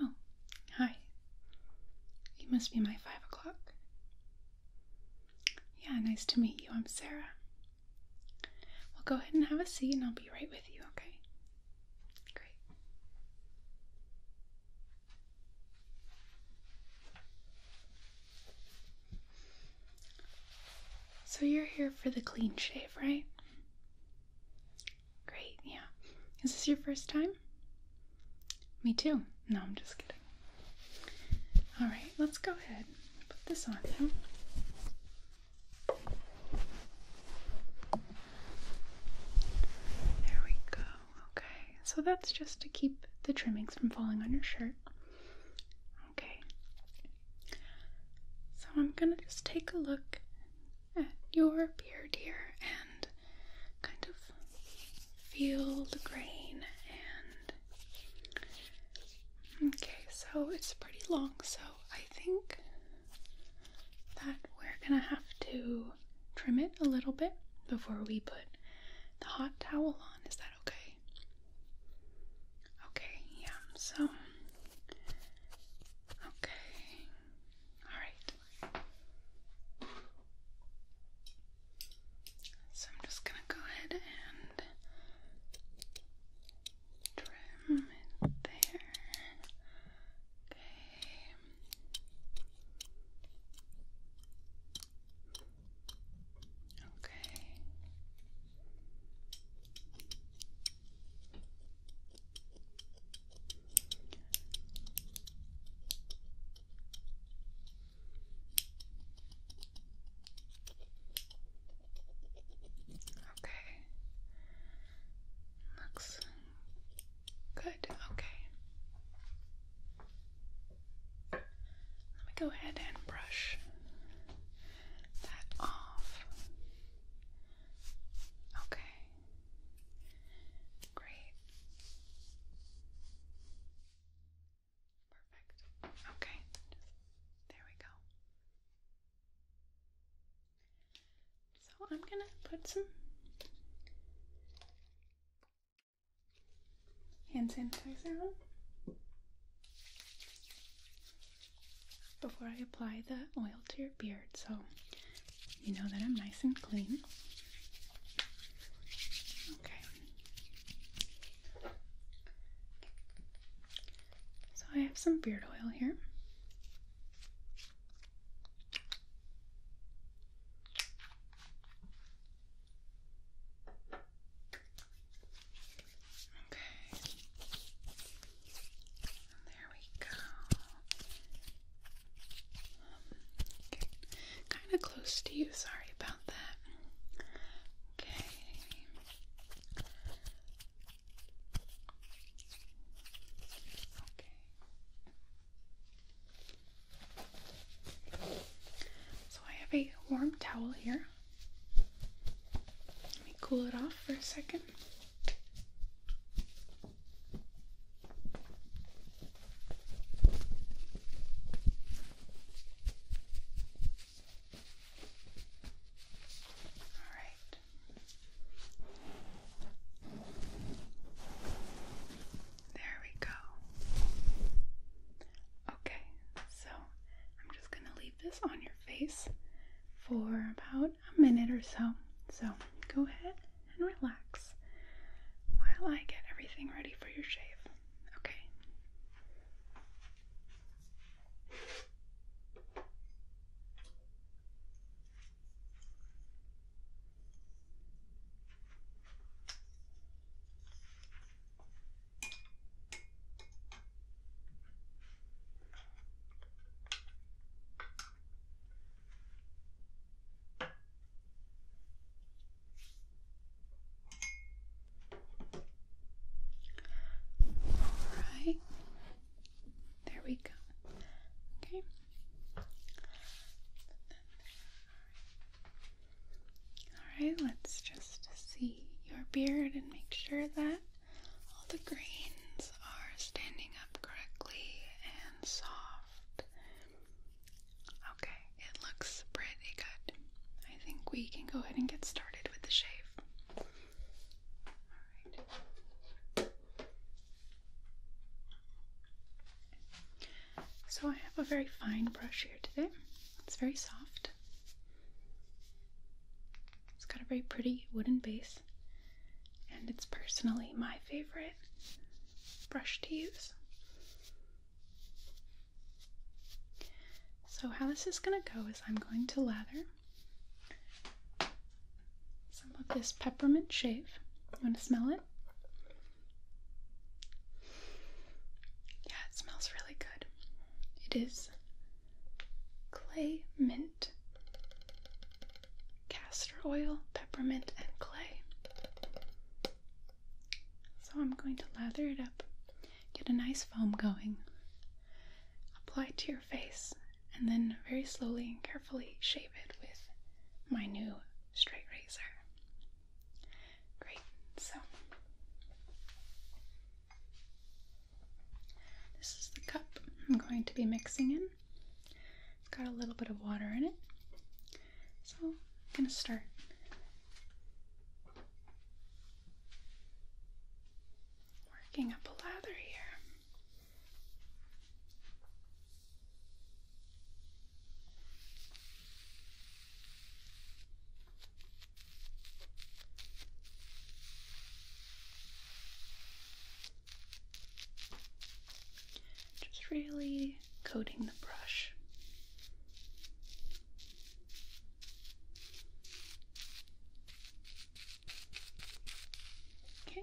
Oh, hi. You must be my five o'clock. Yeah, nice to meet you. I'm Sarah. Well, go ahead and have a seat, and I'll be right with you, okay? Great. So, you're here for the clean shave, right? Great, yeah. Is this your first time? Me too. No, I'm just kidding. All right, let's go ahead put this on now. There we go. Okay, so that's just to keep the trimmings from falling on your shirt. Okay. So I'm going to just take a look at your beard here and kind of feel the grain and okay so it's pretty long so I think that we're gonna have to trim it a little bit before we put the hot towel on is that okay okay yeah so okay Alright. So I'm just going to go ahead and trim it there. Okay. Okay. Okay. Looks good. Okay. Let me go ahead and brush that off. Okay. Great. Perfect. Okay. There we go. So I'm going to put some hand sanitizer on before I apply the oil to your beard so you know that I'm nice and clean. Okay. So I have some beard oil here. Okay there we go. kind of close to you, sorry about that. Okay. Okay. So I have a warm towel here. Let me cool it off for a second. All right. There we go. Okay, so I'm just going to leave this on your face for about a minute or so. So go ahead and relax while I get everything ready for your shave. Okay. All right. There we go. Okay. All right, let's just see your beard and make sure that all the greens are standing up correctly and soft. Okay, it looks pretty good. I think we can go ahead and get started with the shave. So I have a very fine brush here today. It's very soft. It's got a very pretty wooden base and it's personally my favorite brush to use. So, how this is going to go is I'm going to lather some of this peppermint shave. You want to smell it? Yeah, it smells really good. It is clay, mint, castor oil, peppermint, and clay. So I'm going to lather it up, get a nice foam going, apply to your face, and then very slowly and carefully shave it with my new straight razor. Great, so this is the cup I'm going to be mixing in. It's got a little bit of water in it. So I'm going to start. Working up a lather here. Just really coating the brush. Okay.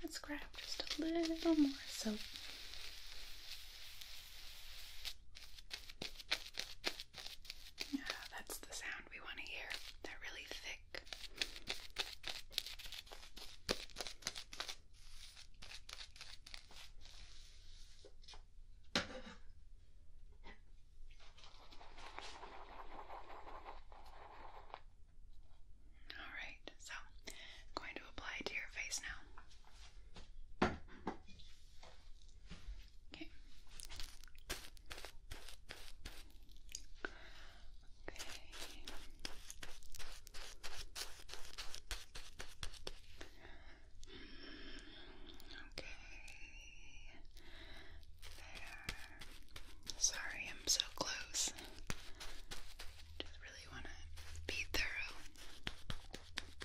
Let's grab just a little more soap. Ah, that's the sound we want to hear. That really thick. All right, so I'm going to apply it to your face now. Okay. Okay. There. Sorry, I'm so close. Just really want to be thorough. Okay.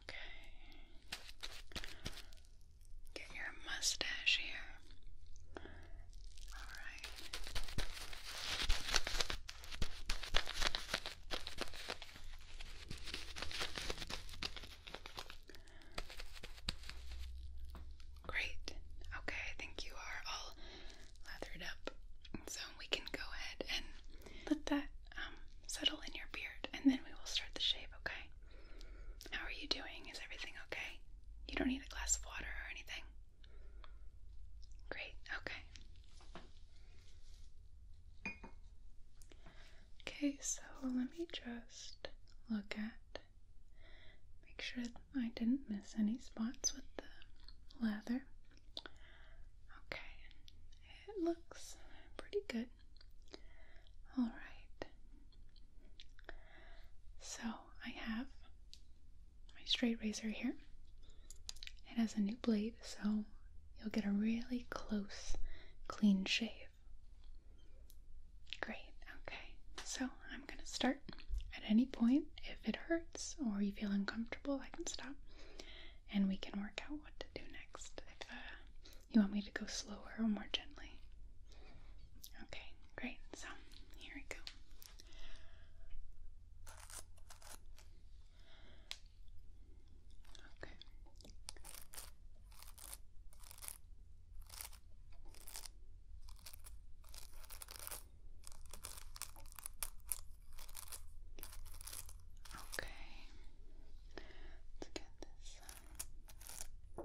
Okay. Get your mustache here. All right. Great. Okay, I think you are all Lather it up. So we can go ahead and let that um, settle in your beard, and then we will start the shave. Okay? How are you doing? Is everything okay? You don't need a glass of water or anything. Great. Okay. Okay. So let me just look at. Make sure I didn't miss any spots with the leather. Okay, it looks pretty good. Alright, so I have my straight razor here. It has a new blade, so you'll get a really close, clean shave. Great, okay, so I'm going to start at any point. If it hurts or you feel uncomfortable, I can stop and we can work out what to do next. If uh, you want me to go slower or more gently. Okay, great. So here we go. Okay. Okay, let's get this um, Okay.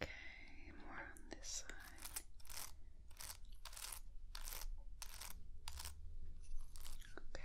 Okay, more on this side. Okay.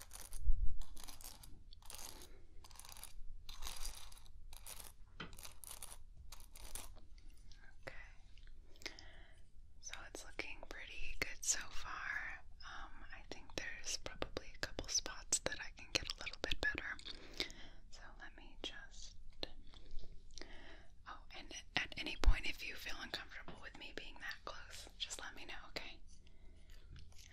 Okay. So it's looking pretty good so far. Um, I think there's probably a couple spots that I can get a little bit better. So let me just. Oh, and at any point, if you feel uncomfortable with me being that close, just let me know, okay?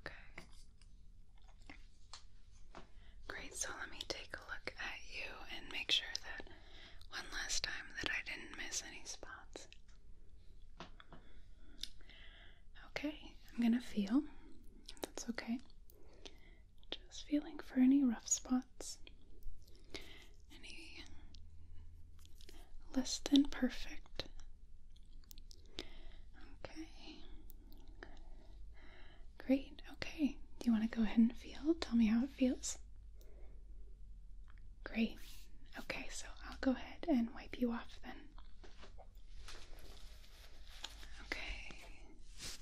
Okay. Great, so let me take a look at you and make sure that one last time that I didn't miss any spots. Okay, I'm gonna feel. That's okay. Just feeling for any rough spots, any less than perfect. Okay. Great. Okay. Do you want to go ahead and feel? Tell me how it feels. Great. Okay, so I'll go ahead and wipe you off then. Okay.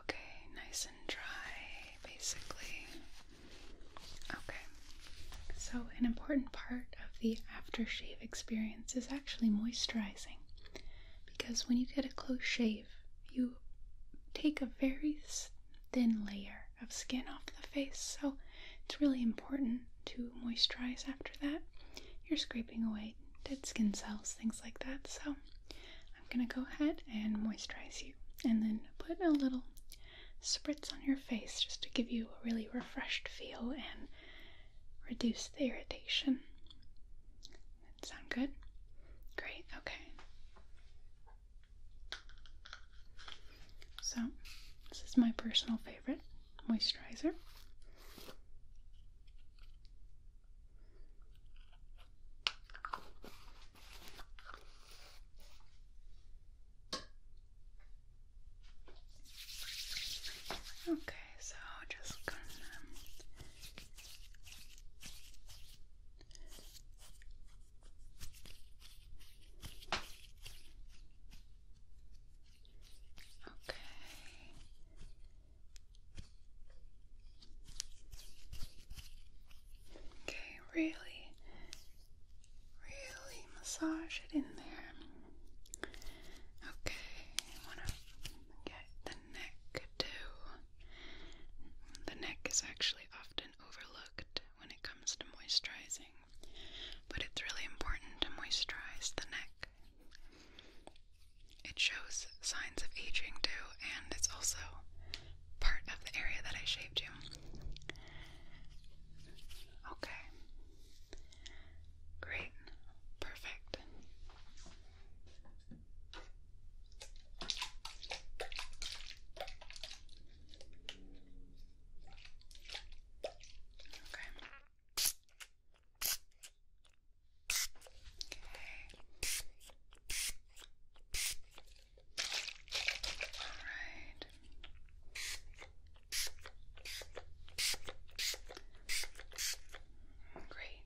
Okay, nice and dry, basically. Okay, so an important part of the after shave experience is actually moisturizing because when you get a close shave, you take a very thin layer of skin off the face, so it's really important to moisturize after that. You're scraping away dead skin cells, things like that. So I'm gonna go ahead and moisturize you and then put a little spritz on your face just to give you a really refreshed feel and reduce the irritation. That sound good? Great, okay. So, this is my personal favorite moisturizer. Okay, so just gonna Okay. Okay, really, really massage it in there. Okay, I want to get the neck too. The neck is actually often overlooked when it comes to moisturizing but it's really important to moisturize the neck. It shows signs of aging too, and it's also part of the area that I shaved you. Okay. Great. Perfect. Okay right. Great.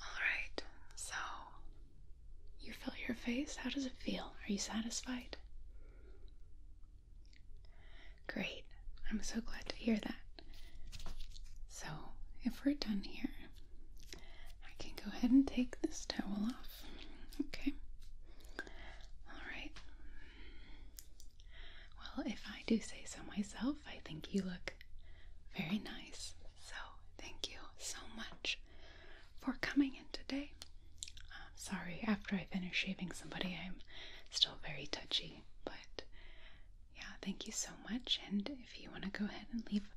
All right. So you feel your face? How does it feel? Are you satisfied? Great. I'm so glad to hear that. So, if we're done here, I can go ahead and take this towel off. Okay. Alright. Well, if I do say so myself, I think you look very nice. So, thank you so much for coming in today. I'm sorry, after I finish shaving somebody, I'm still very touchy, but yeah, thank you so much. And if you want to go ahead and leave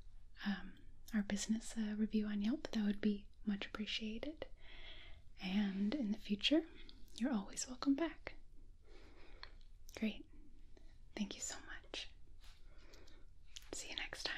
um, our business uh, review on Yelp, that would be much appreciated. And in the future, you're always welcome back. Great. Thank you so much. See you next time.